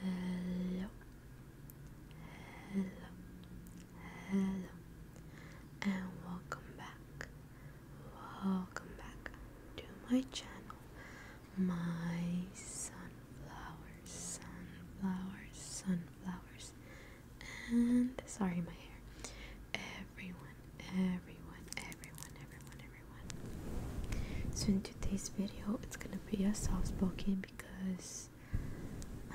Hello, hello, hello, and welcome back. Welcome back to my channel, my sunflowers, sunflowers, sunflowers, and sorry, my hair. Everyone, everyone, everyone, everyone, everyone. So in today's video it's gonna be a soft-spoken because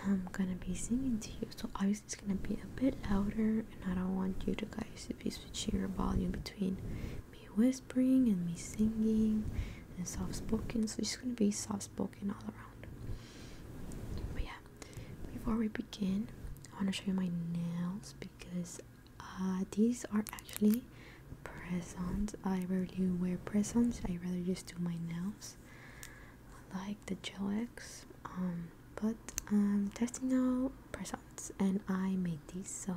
I'm gonna be singing to you so obviously it's gonna be a bit louder and I don't want you guys to be switching your volume between me whispering and me singing and soft-spoken so it's gonna be soft-spoken all around but yeah before we begin I want to show you my nails because uh, these are actually press-ons. I rarely wear press-ons. I rather just do my nails. I like the gel X. Um, but I'm testing out press-ons, and I made these, so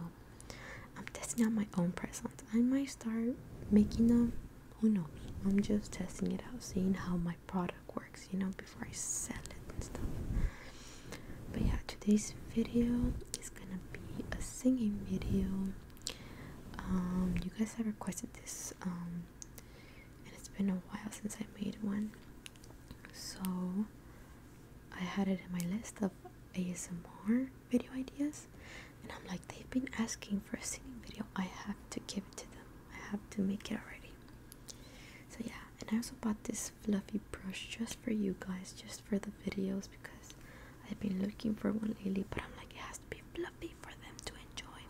I'm testing out my own press-ons. I might start making them. Who knows? I'm just testing it out, seeing how my product works, you know, before I sell it and stuff. But yeah, today's video is gonna be a singing video. Um, you guys have requested this um, and it's been a while since I made one so I had it in my list of ASMR video ideas and I'm like they've been asking for a singing video I have to give it to them I have to make it already so yeah and I also bought this fluffy brush just for you guys just for the videos because I've been looking for one lately, but I'm like, it has to be fluffy for them to enjoy.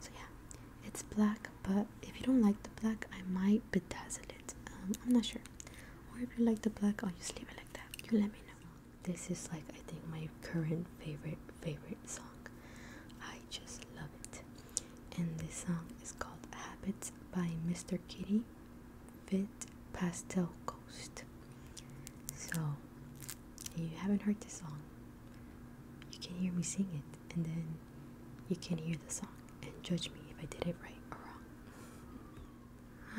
So, yeah, it's black, but if you don't like the black, I might bedazzle it. Um, I'm not sure. Or if you like the black, I'll just leave it like that. You let me know. This is like, I think, my current favorite, favorite song. I just love it. And this song is called Habits by Mr. Kitty. Fit Pastel ghost. So, if you haven't heard this song, you can hear me sing it, and then you can hear the song and judge me if I did it right or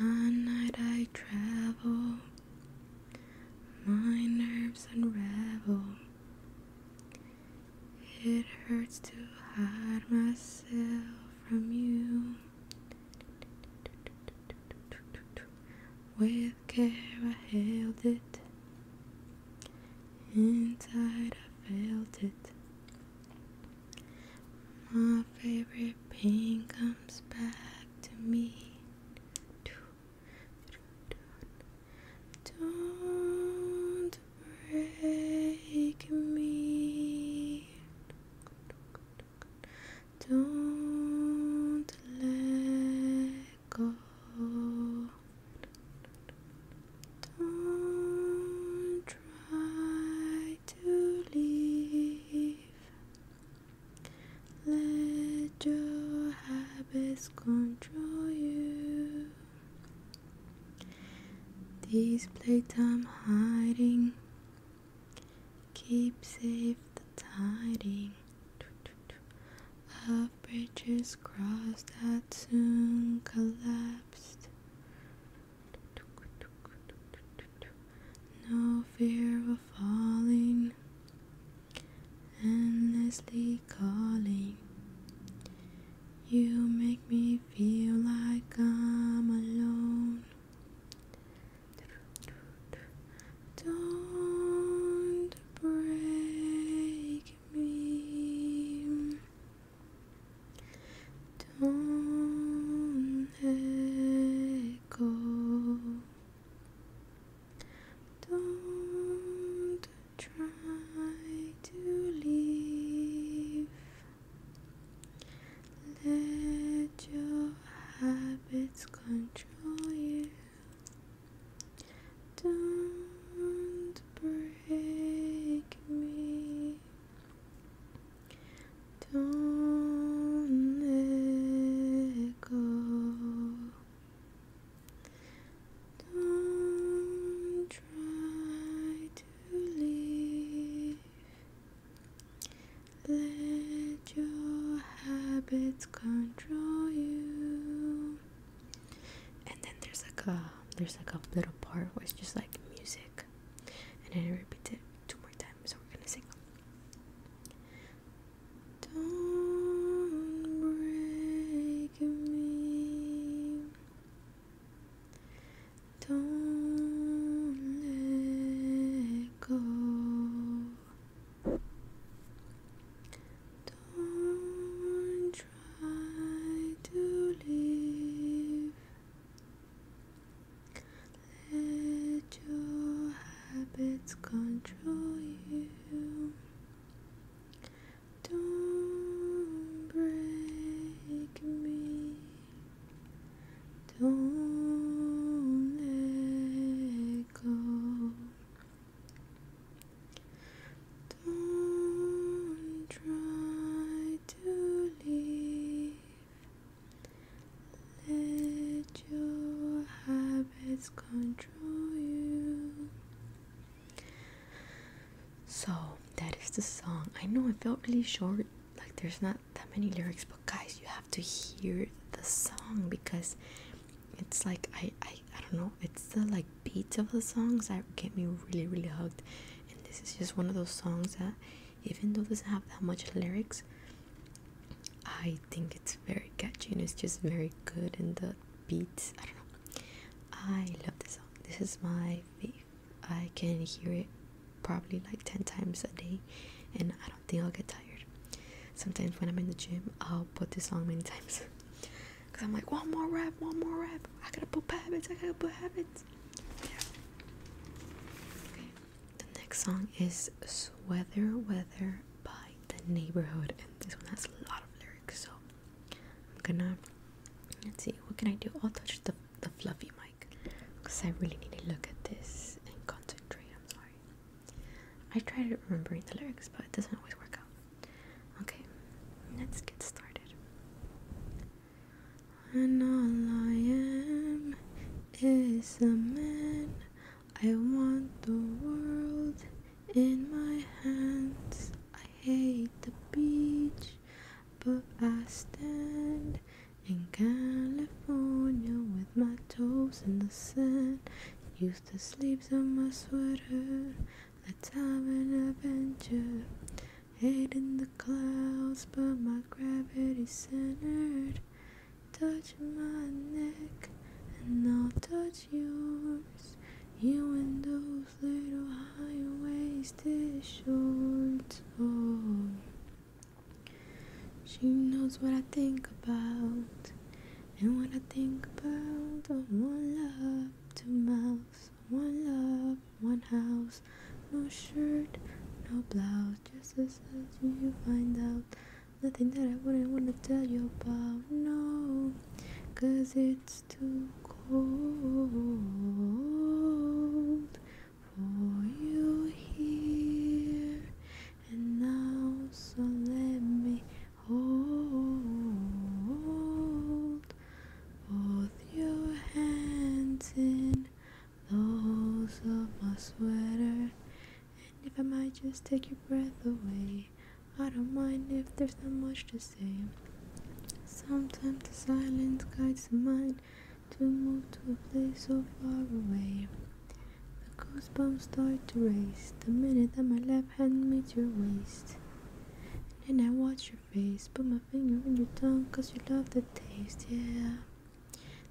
wrong. On night I travel, my nerves unravel. It hurts to hide myself from you. With care I held it. Inside I felt it. My favorite pain comes back to me. Don't break me. Don't let go. Don't try to leave. Let your habits control you. These playtime hiding Keep safe the tiding of bridges crossed that soon collapsed. No fear of falling, endlessly calling. You make me feel like I'm alone. Don't break me. Don't let go. Don't try to leave. Let your habits control you. Don't break me. Don't let go. Don't try to leave. Let your habits control you. And then there's like a there's like a little part where it's just like music. And then I repeat it two more times. So we're gonna sing. Don't break me. Don't let go. Don't try to leave. Let your habits control you. Don't break me. Don't let go. Don't try to leave. Let your habits control you. So that is the song. I know it felt really short, like there's not that many lyrics, but guys, you have to hear the song because it's like I I, I don't know, it's the like beats of the songs that get me really really hugged. And this is just one of those songs that even though doesn't have that much lyrics, I think it's very catchy and it's just very good and the beats. I don't know. I love this song. This is my favorite I can hear it probably like 10 times a day and I don't think I'll get tired. Sometimes when I'm in the gym, I'll put this song many times because I'm like, one more rep, one more rep. I gotta put habits, I gotta put habits. Yeah. the next song is Sweater Weather by The Neighborhood, and this one has a lot of lyrics, so I'm gonna let's see, what can I do? I'll touch the, the fluffy because I really need to look at this and concentrate. I'm sorry. I try to remember the lyrics, but it doesn't always work out. Okay, let's get started. And all I am is a man. I want the world in my hands. I hate the beach. But I stand in California with my toes in the sand. Used to sleeves on my sweater, the time and adventure. Head in the clouds, but my gravity centered. Touch my neck, and I'll touch yours. You and those little high-waisted shorts on. She knows what I think about, and what I think about. Oh, one love, two mouths, one love, one house. No shirt, no blouse, just as you find out. Nothing that I wouldn't wanna tell you about, no. Cause it's it's too cold for you here and now, so let me hold both your hands in those of my sweater. And if I might just take your breath away, I don't mind if there's not much to say. Sometimes the silence guides the mind to move to a place so far away. The goosebumps start to race the minute that my left hand meets your waist. then I watch your face, put my finger in your tongue, cause you love the taste, yeah.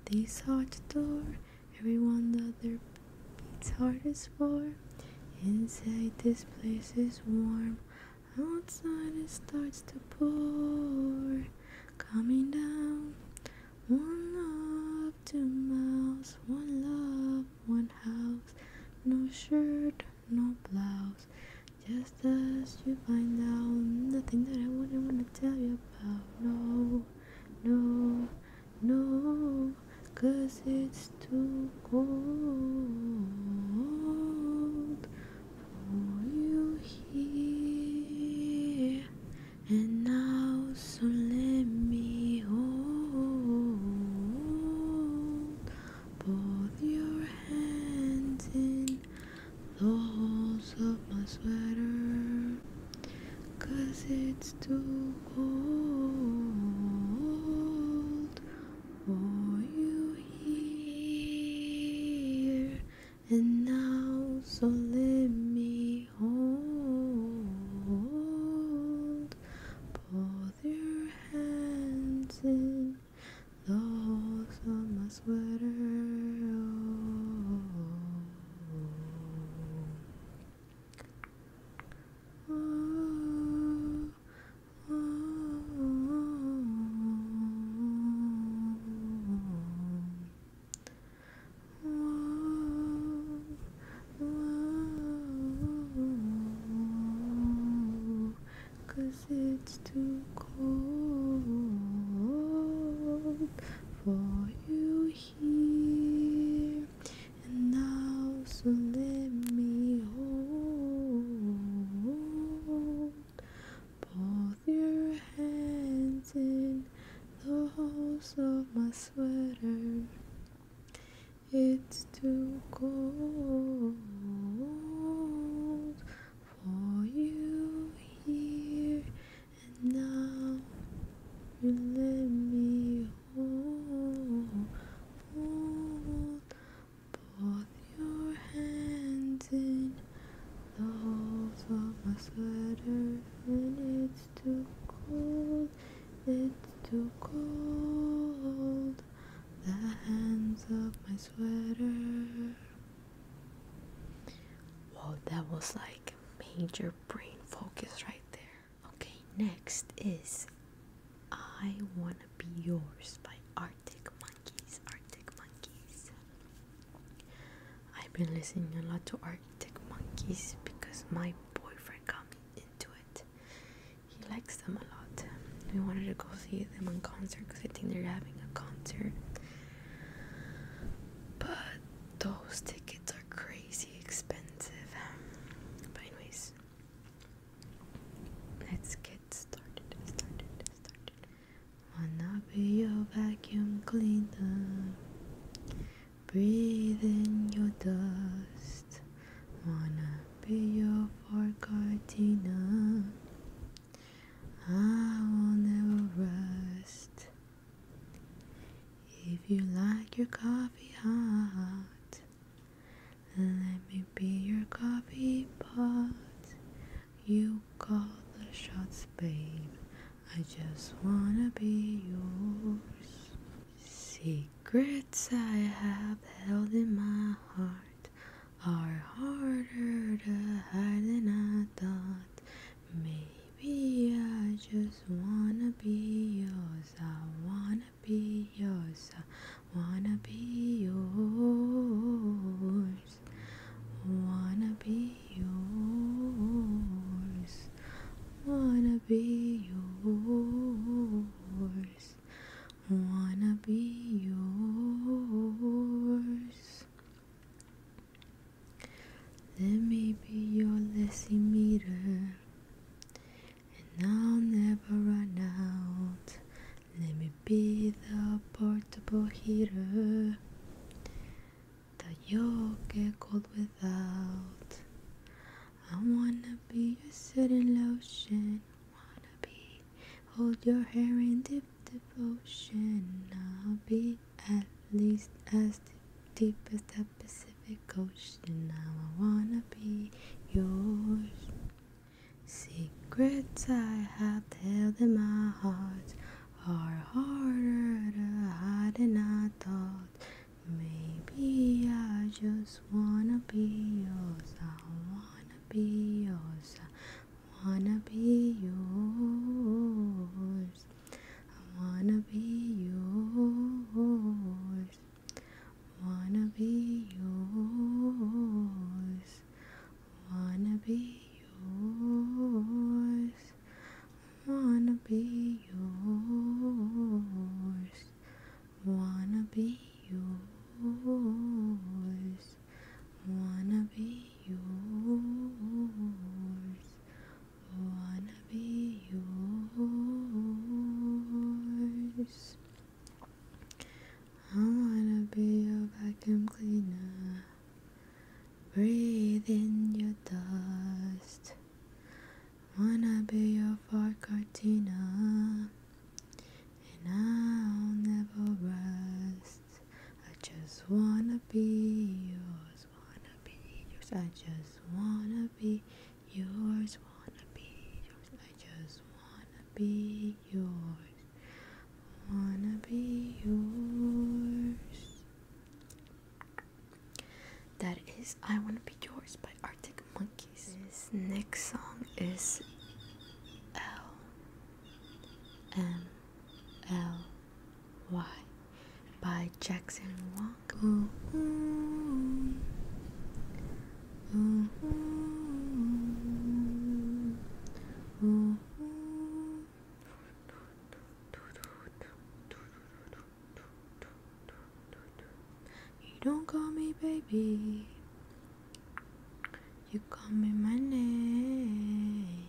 These hearts adore everyone that their beats hardest for. Inside this place is warm. Outside it starts to pour, coming down. One love, two mouths, one love, one house. No shirt, no blouse. Just as you find out, the thing that I wouldn't want to tell you about. No, no, no, cause it's too cold. Oh, you here and now, so let me hold both your hands in the holes of my sweater, cause it's too cold. Are you here and now, so let me hold both your hands in those of sweater. Oh. Cause it's too cold for you here, now so let me hold both your hands in the holes of my sweater. It's too cold for you here and now. You let me hold both your hands in the holes of my sweater when it's too cold, it's too cold. The hands of my sweater. Well, that was like major brain focus right there. Okay, next is I Wanna Be Yours by Arctic Monkeys. Arctic Monkeys. I've been listening a lot to Arctic Monkeys because my boyfriend got me into it. He likes them a lot. We wanted to go see them on concert because I think they're having a concert. But those tickets are crazy expensive. But anyways, Let's get started, started, started. Wanna be your vacuum cleaner? Breathe in your dust. Wanna be your forgotten. I will never rest. If you like your coffee hot, let me be your coffee pot. You call the shots, babe. I just wanna be yours. Secrets I have held in my heart are harder to hide than I thought. Maybe I just wanna be yours. I wanna wanna be yours, wanna be yours, wanna be yours, wanna be yours, Let me be your lazy mirror and I'll never run out. Let me be the portable heater that you'll get cold without. I wanna be your sitting lotion. Wanna be hold your hair in deep devotion. I'll be at least as deep as the Pacific perfect and Now I wanna be yours. Secrets I have held in my heart are harder to hide than I thought. Maybe I just wanna be yours. I wanna be yours. I wanna be yours. I wanna be yours. Wanna be yours, wanna be yours, wanna be yours, wanna be yours, wanna be yours, wanna be yours. I wanna be your vacuum cleaner. Breathe in your dust. Wanna be your far Cortina. And I'll never rest. I just wanna be yours, wanna be yours. I just wanna be yours, wanna be yours. I just wanna be yours, wanna be yours. That is I Wanna Be Yours by Arctic Monkeys. This next song is L M L Y by Jackson Wang. You don't call me baby. You call me my name.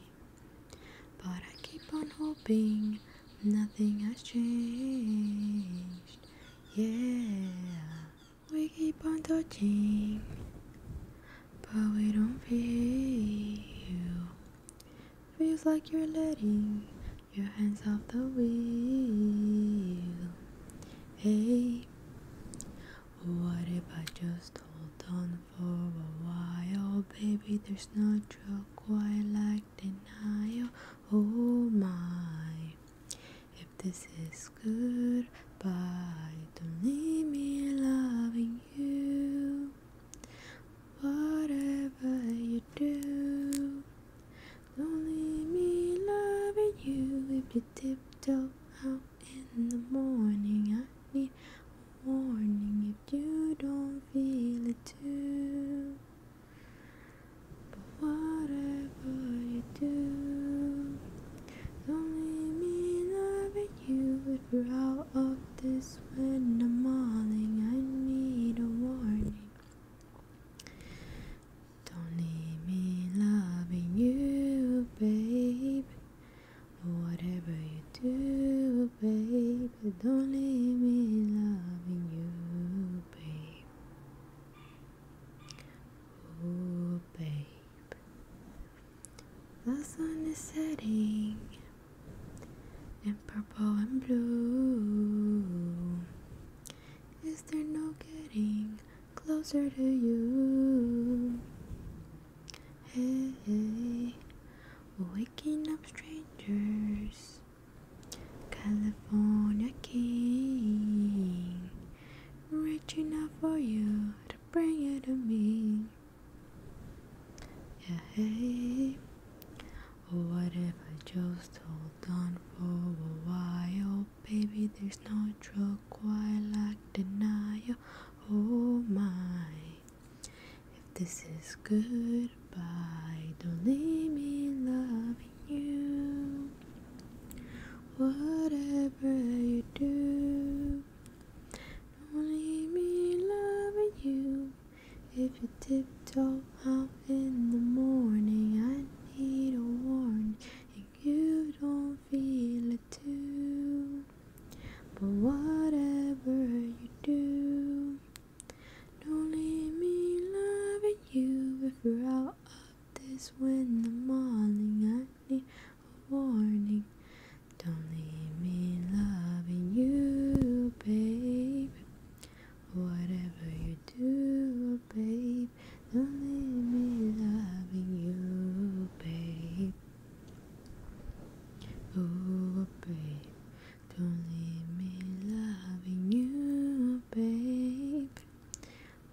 But I keep on hoping nothing has changed. Yeah, we keep on touching, but we don't feel you. Feels like you're letting your hands off the wheel. Hey, what if I just hold on for a while, baby? There's no joke quite like like denial. Oh my, if this is goodbye, don't leave me loving you. Whatever you do, don't leave me loving you. If you toe out in the morning, I need a warning if you don't feel it too. But whatever you do, don't leave me loving you. We're out of this when the morning. I need a warning. Don't leave me loving you, babe. Whatever you do, babe, don't leave me loving you, babe. Oh, babe, the sun is setting in purple and blue. Is there no getting closer to you? Hey, waking up strangers California King, rich enough for you to bring it to me. Yeah, hey, or what if I just hold on for a while? Baby, there's no drug quite like denial. Oh my, if this is goodbye. Don't leave me loving you. Whatever you do, don't leave me loving you. If you tiptoe out in the morning, I need a warning. And you don't feel it too. But whatever you do, don't leave me loving you if we are out of this when the morning I need a warning. Don't leave me loving you, babe. Whatever you do, babe, don't leave me loving you, babe. Oh, babe. Don't leave me loving you, babe.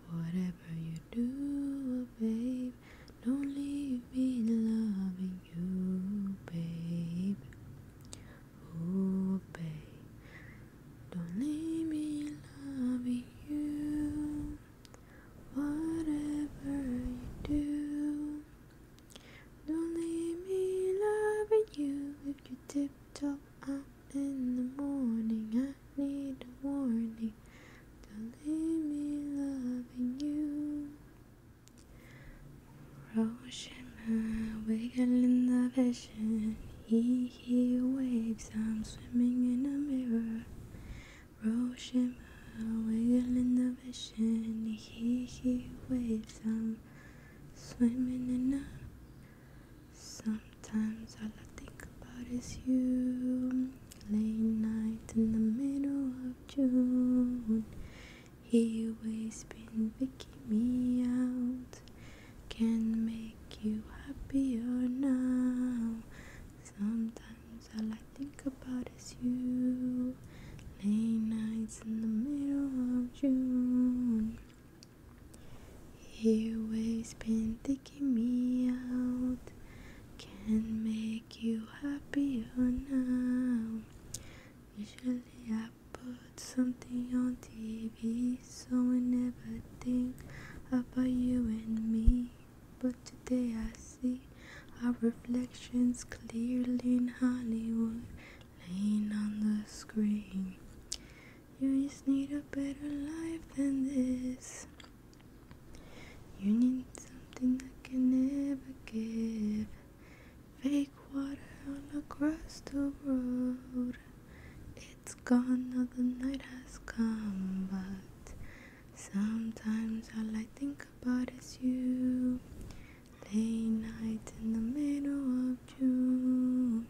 Whatever you do, babe, don't leave me loving you, babe. Oh, babe, don't leave me loving you. Whatever you do, don't leave me loving you if you tiptoe out in the morning. I need a warning. Don't leave me loving you. Hiroshima, wiggle in the vision. He, he waves, I'm swimming in a mirror. Hiroshima, wiggle in the vision. He, he waves, i swimming in a uh, Sometimes all I think about is you. Late night in the middle of June. He always been picking me out. Can make you happier now. Sometimes all I think about is you. Late nights in the middle of June. He always been taking me out. Can make you happier now. Usually I put something on TV so I never think about you and me. But today I see our reflections clearly in Hollywood playing on the screen. You just need a better life than this. You need something I can never give. Fake water all across the road. It's gone, now the night has come, but sometimes all I think about is you. Late night in the middle of June,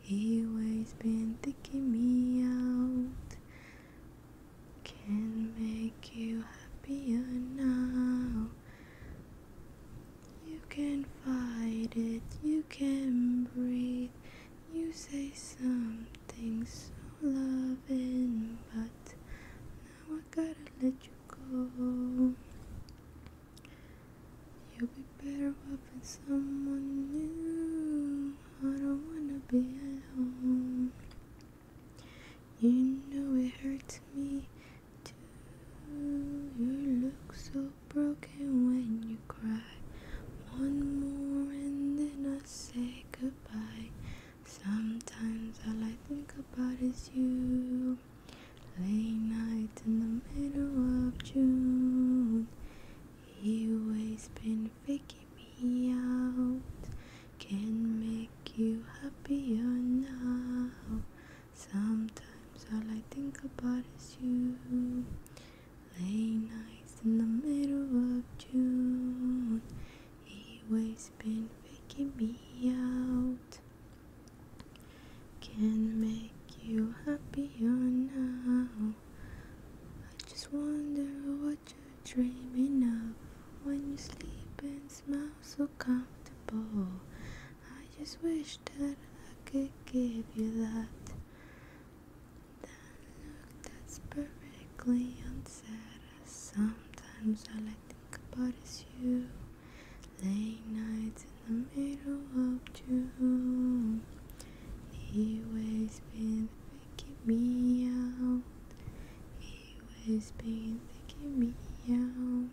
he always been thinking me out. Can make you happier now. You can fight it, you can breathe. You say something so loving, but I gotta let you go. You'll be better off with someone new. I don't wanna be alone. You know it hurts me too. You look so broken when you cry. One more and then I say goodbye. Sometimes all I think about is you. Late nights in the middle of June, he always been faking me out. Can make you happier now. Sometimes all I think about is you. Late nights in the middle of June, he always been faking me out can make you happier now. I just wonder what you're dreaming of when you sleep and smile so comfortable. I just wish that I could give you that. That look that's perfectly unsaid. Sometimes all I think about is you. Late nights in the middle of June. He always been picking me out. He always been picking me out.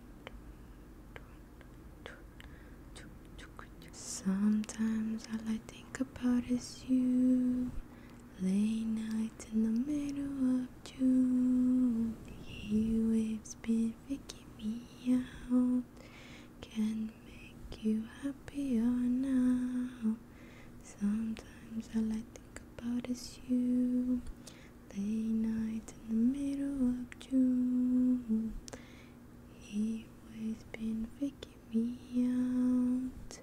Sometimes all I think about is you. Late nights night in the middle of June. The heat waves been faking me out. Can make you happier now. Sometimes all I think about is you. Late night in the middle of June. Heat waves been faking me out.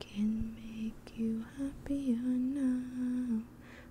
Can make you happier now.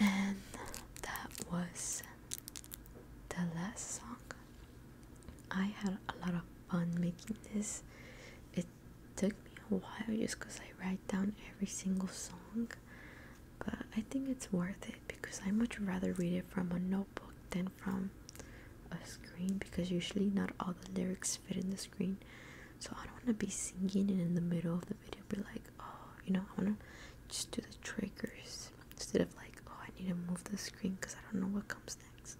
And that was the last song. I had a lot of fun making this. It took me a while just because I write down every single song, but I think it's worth it because I much rather read it from a notebook than from a screen because usually not all the lyrics fit in the screen. So I don't want to be singing and in the middle of the video be like oh, you know, I want to just do the triggers instead of like, oh, I need to move the screen because I don't know what comes next.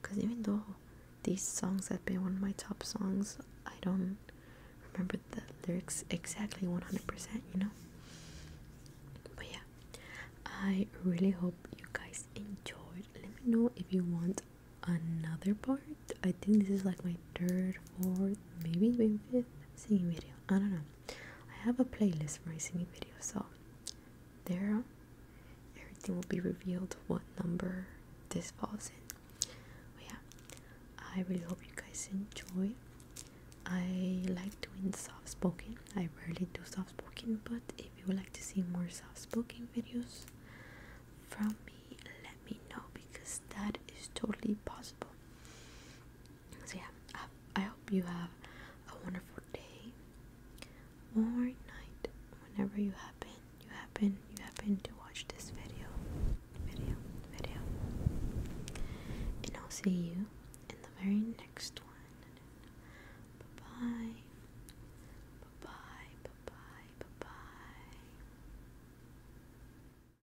Because even though these songs have been one of my top songs, I don't remember the lyrics exactly 100%, you know? But yeah, I really hope you guys enjoyed. Let me know if you want another part. I think this is like my third, fourth, maybe even fifth singing video. I don't know. I have a playlist for my singing videos, so there everything will be revealed what number this falls in. yeah, I really hope you guys enjoy. I like doing soft spoken. I rarely do soft spoken, but if you would like to see more soft spoken videos from me, let me know because that is totally possible. So yeah, I, hope you have a wonderful day or night, whenever you happen, you happen, you happen to watch this video, video, video. And I'll see you in the very next one. bye bye, bye bye, bye bye.